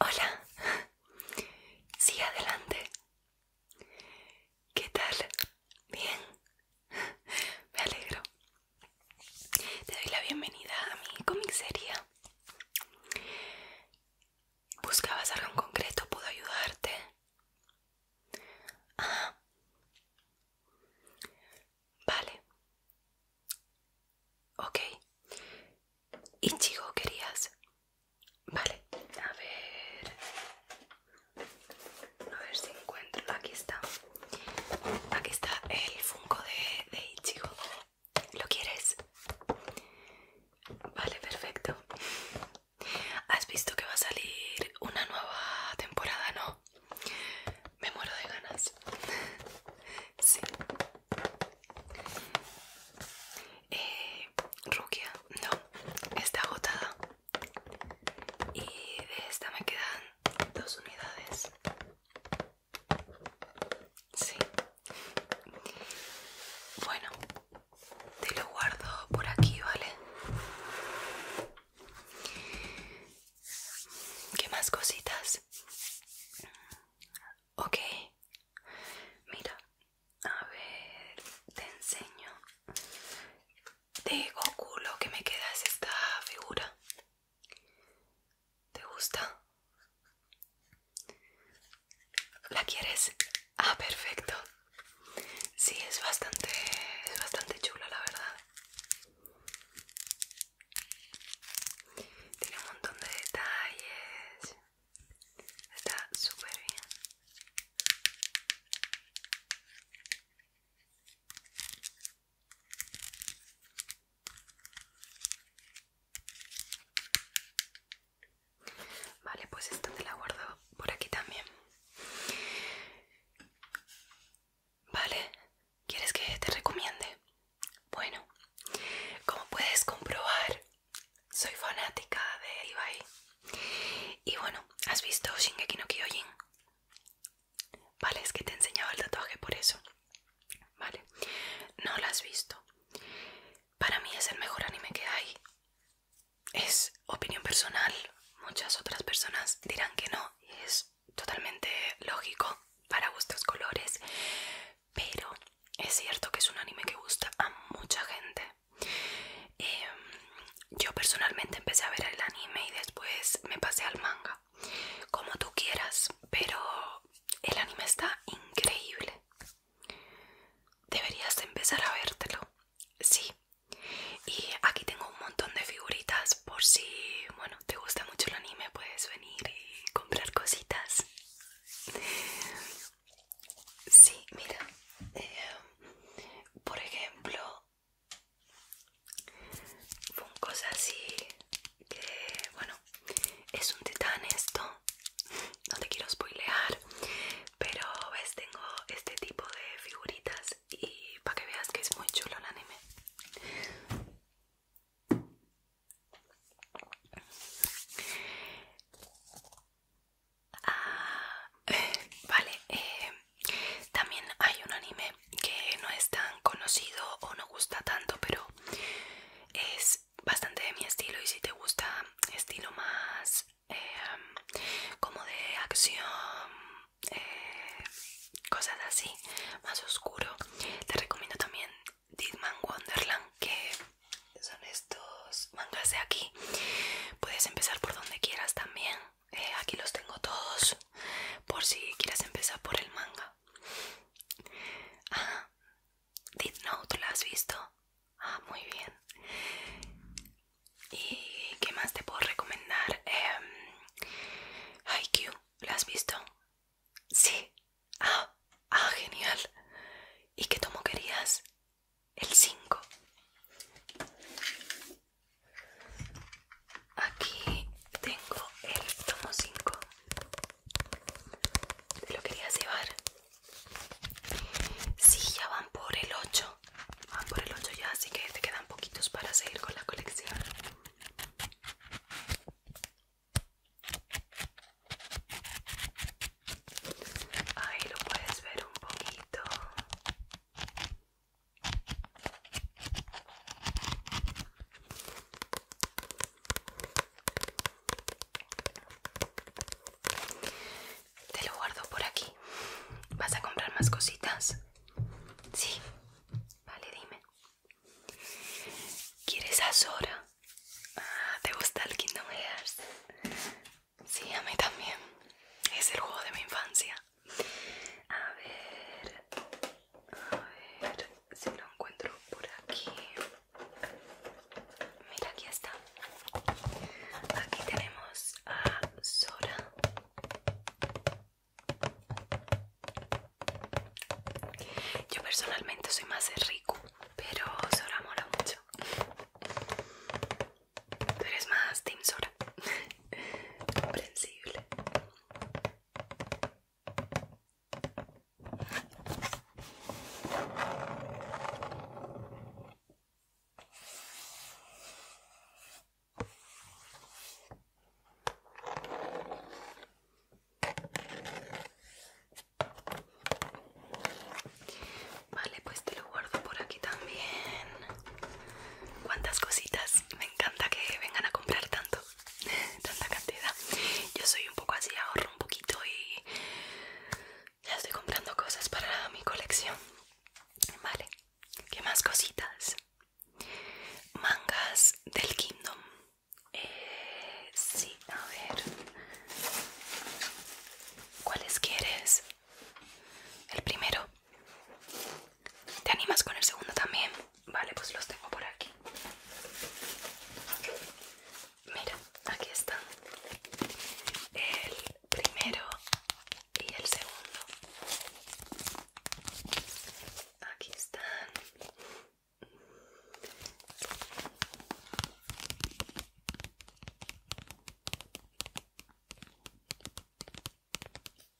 Hola, Sí, adelante. ¿Qué tal? Bien, me alegro. Te doy la bienvenida a mi comic ¿Buscabas algo en concreto? ¿Puedo ayudarte? Ah. Vale. Ok. ¿Y querías? Vale. A ver. A ver si encuentro. Aquí está. Aquí está el Funko de, de ¿Lo quieres? Vale, perfecto. ¿Has visto que va a salir una nueva temporada, no? Me muero de ganas. sí. Eh, Rukia, no, está agotada. Y de esta me quedan dos unidades. Sí. Bueno, te lo guardo por aquí, ¿vale? ¿Qué más cositas? Ok. Mira, a ver, te enseño. De digo lo que me queda esta figura. ¿Te gusta? ¿La quieres? Ah, perfecto. Sí, es bastante, es bastante chula, la verdad. Tiene un montón de detalles. Está súper bien. Vale, pues esta te la guardo por aquí también. Vale, ¿quieres que te recomiende? Bueno, como puedes comprobar, soy fanática de Ibai. Y bueno, ¿has visto Shingeki no Kyojin? Vale, es que te enseñaba el tatuaje por eso. Vale, no lo has visto. Para mí es el mejor anime que hay. Es opinión personal. Muchas otras personas dirán que no. es totalmente lógico para gustos colores. Pero es cierto que es un anime que gusta a mucha gente. Em, yo personalmente empecé a ver el anime y después me pasé al manga como tú quieras, pero el anime está increíble. Deberías de empezar a vértelo. Sí. Y aquí tengo un montón de figuritas por si, bueno, te gusta mucho el anime, puedes venir y comprar cositas. Sí, mira. Eh, por ejemplo, cosa así que, bueno, es un titán esto. No te quiero spoilear. Pero ves, tengo este tipo de figuritas. Y para que veas que es muy chulo el anime. Ah, vale, eh, también hay un anime que no es tan conocido o no gusta tanto, pero es bastante de mi estilo y si te gusta estilo más em, como de acción, eh, cosas así, más oscuro, te recomiendo también Man Wonderland, que son estos mangas de aquí. Puedes empezar por donde quieras también. Eh, aquí los tengo todos por si quieres empezar por el manga Ah, Did Note, ¿la has visto? Ah, muy bien. ¿Y qué más te puedo recomendar? Eh, ¿la has visto? Sí. Ah, ah, genial. ¿Y qué tomo querías? El 5. Aquí tengo el tomo 5. lo querías llevar. Sí, ya van por el 8. Van por el 8 ya, así que te quedan poquitos para seguir con la colección. Ahí lo puedes ver un poquito. Te lo guardo por aquí. ¿Vas a comprar más cositas? Sí. Vale, dime. ¿Quieres Azora? Ah, ¿Te gusta el Kingdom Hearts? Sí, a mí también. Es el juego de mi infancia. A ver. A ver si lo encuentro por aquí. Mira, aquí está. Aquí tenemos a Sora. Yo personalmente soy más de pero Sora mola mucho. Tú eres más Team Sora. Comprensible. Vale, pues te lo guardo por aquí también. ¿Cuántas cositas? Me encanta que vengan a comprar tanto. tanta cantidad. Yo soy un poco así, ahorro un poquito y ya estoy comprando cosas para mi colección. Vale, ¿qué más cositas? Mangas del Kingdom. Eh, sí, a ver. ¿Cuáles quieres? El primero. ¿Te animas con el segundo también? Vale, pues los tengo por aquí. Mira, aquí están. El primero y el segundo. Aquí están.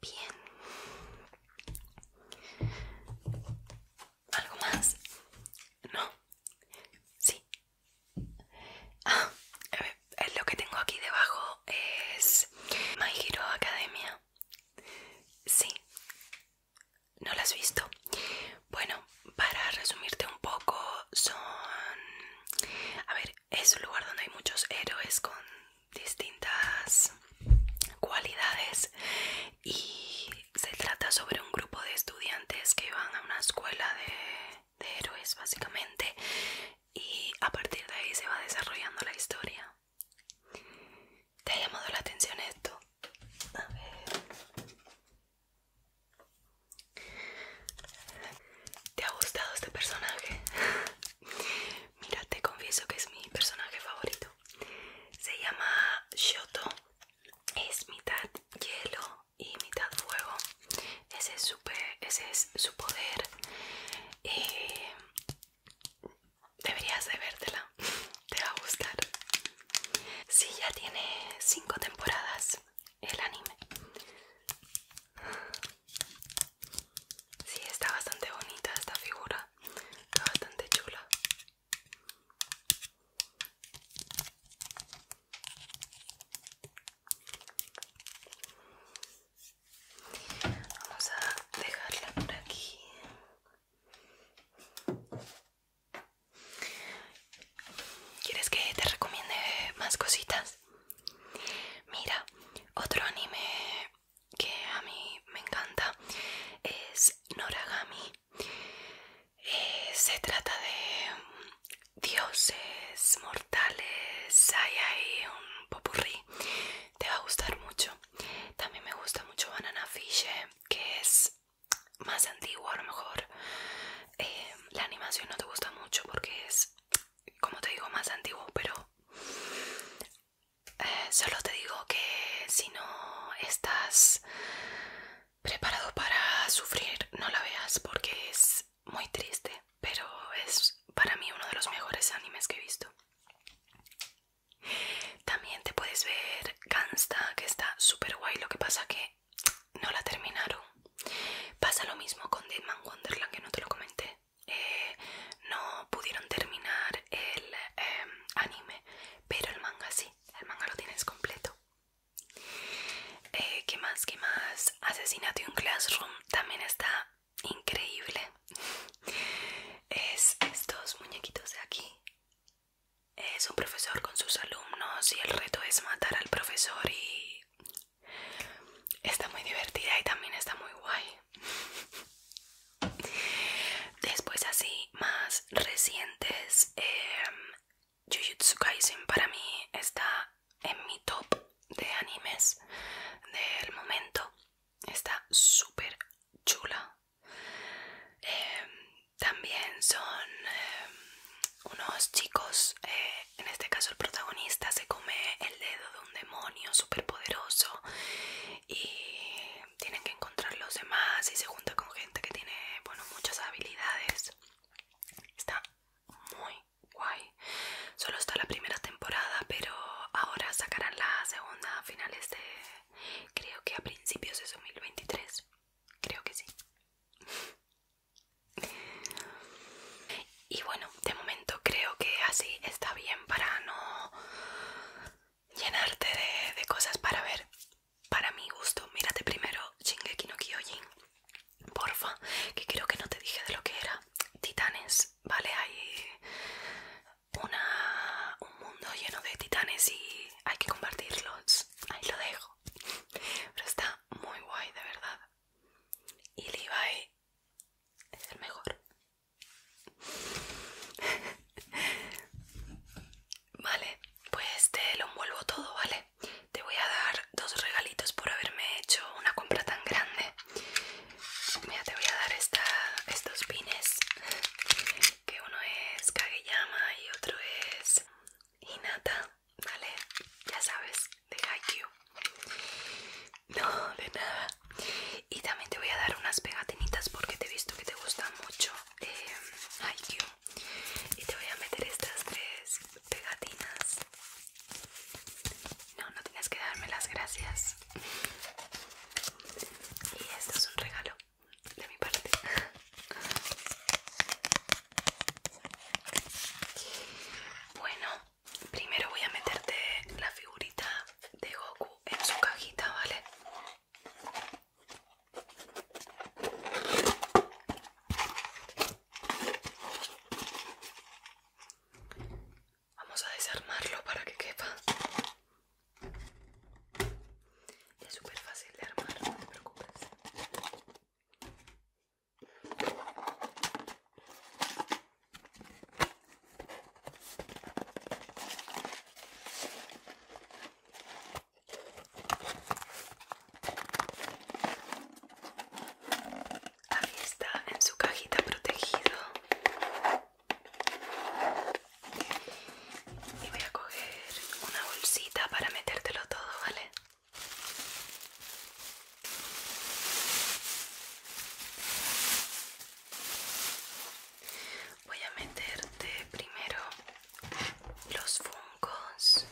bien. ¿Algo más? ¿No? Sí. Ah, eh, lo que tengo aquí debajo es My Hero Academia. Sí. ¿No la has visto? Bueno, para resumirte un poco, son... A ver, es un lugar donde hay muchos héroes con distintas cualidades y se trata sobre un grupo de estudiantes que van a una escuela de, de héroes básicamente y a partir de ahí se va desarrollando la historia. ¿Te ha llamado la atención esto? A ver. ¿Te ha gustado este personaje? Mira, te confieso que es mi personaje favorito. Se llama Shoto. Es mitad hielo y mitad fuego. Ese es su, ese es su poder. Eh, deberías de vértela. Te va a gustar. Sí, ya tiene 5 temporadas el anime. Sí, está bastante bonita esta figura está, bastante chula. Vamos a dejarla por aquí. ¿Quieres que te recomiende más cositas? Mira, otro anime que a mí me encanta es Noragami. Eh, se trata de dioses mortales, hay ahí un popurrí. Te va a gustar mucho. También me gusta mucho Banana Fish, eh, que es más antiguo a lo mejor. Eh, la animación no te gusta mucho porque es, como te digo, más antiguo, pero solo te digo que si no estás preparado para sufrir, no la veas porque es muy triste, pero es para mí uno de los mejores animes que he visto. También te puedes ver Cansta que está super guay, lo que pasa que no la terminaron. Pasa lo mismo con Deadman Wonderland, que no te lo comenté. Eh, no pudieron terminar el em, anime, pero el manga sí, el manga lo tienes completo. Eh, ¿Qué más? ¿Qué más? Asesinato en Classroom también está increíble. Es estos muñequitos de aquí. Es un profesor con sus alumnos y el reto es matar al profesor y está muy divertida y también está muy guay. Después así más recientes, em, Jujutsu Kaisen para mí está en mi top de animes del momento. Está súper chula. Em, también son em, unos chicos, eh, en este caso el protagonista se come el dedo un demonio poderoso y tienen que encontrar los demás y se junta con gente que tiene bueno muchas habilidades está muy guay solo está la primera temporada pero ahora sacarán la segunda a finales de creo que a principios de 2023 creo que sí y bueno, de momento creo que así está bien para no llenarte de, cosas para ver. Para mi gusto, mírate primero Shingeki no Kyojin. Porfa, que creo que no te dije de lo que era. Titanes, ¿vale? Hay una, un mundo lleno de titanes y hay que compartirlos. Ahí lo dejo. Pero está muy guay, de verdad. Y Levi es el mejor. vale, pues te lo envuelvo todo, ¿vale? Te voy a dar dos regalitos por haberme hecho una compra tan grande. Mira, te voy a dar esta, estos pines, que uno es Kageyama y otro es Hinata, ¿vale? Ya sabes de Haikyuu No, de nada Y también te voy a dar unas pegatinitas porque te he visto que te gusta mucho em, Haikyuu Y te voy a meter estas tres pegatinas No, no tienes que darme las gracias Y esto es un regalo de mi parte bueno Primero voy a meterte la figurita de Goku en su cajita, ¿vale? Vamos a desarmarlo para que quepa. Es súper fácil de armar, no te preocupes. Aquí está en su cajita protegido. Y voy a coger una bolsita para metértelo todo, ¿vale? Voy a meterte primero los fungos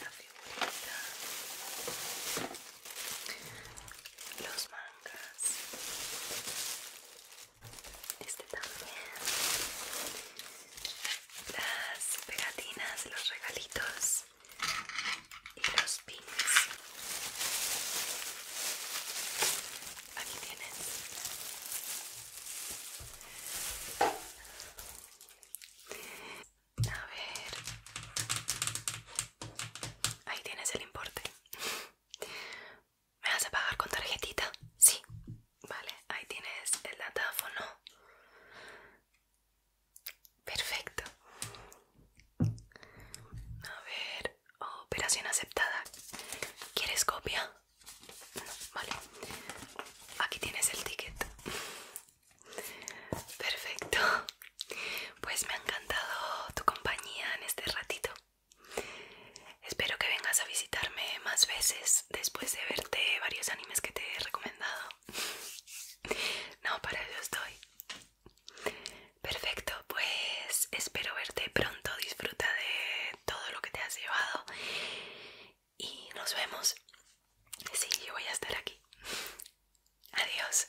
La figurita, los mangas, este también. Las pegatinas, los regalitos y los pins. Aquí tienes. A ver. Ahí tienes el importe. ¿Me vas a pagar con tarjetita? Sí. Vale, ahí tienes el datáfono. Perfecto. A ver, operación aceptada. ¿Quieres copia? vale. Aquí tienes el ticket. Perfecto. Pues me ha encantado tu compañía en este ratito. Espero que vengas a visitarme más veces después de verte varios animes que te he recomendado. No, para eso estoy. Perfecto, pues espero verte pronto. Disfruta de todo lo que te has llevado. Y nos vemos. Sí, yo voy a estar aquí. Adiós.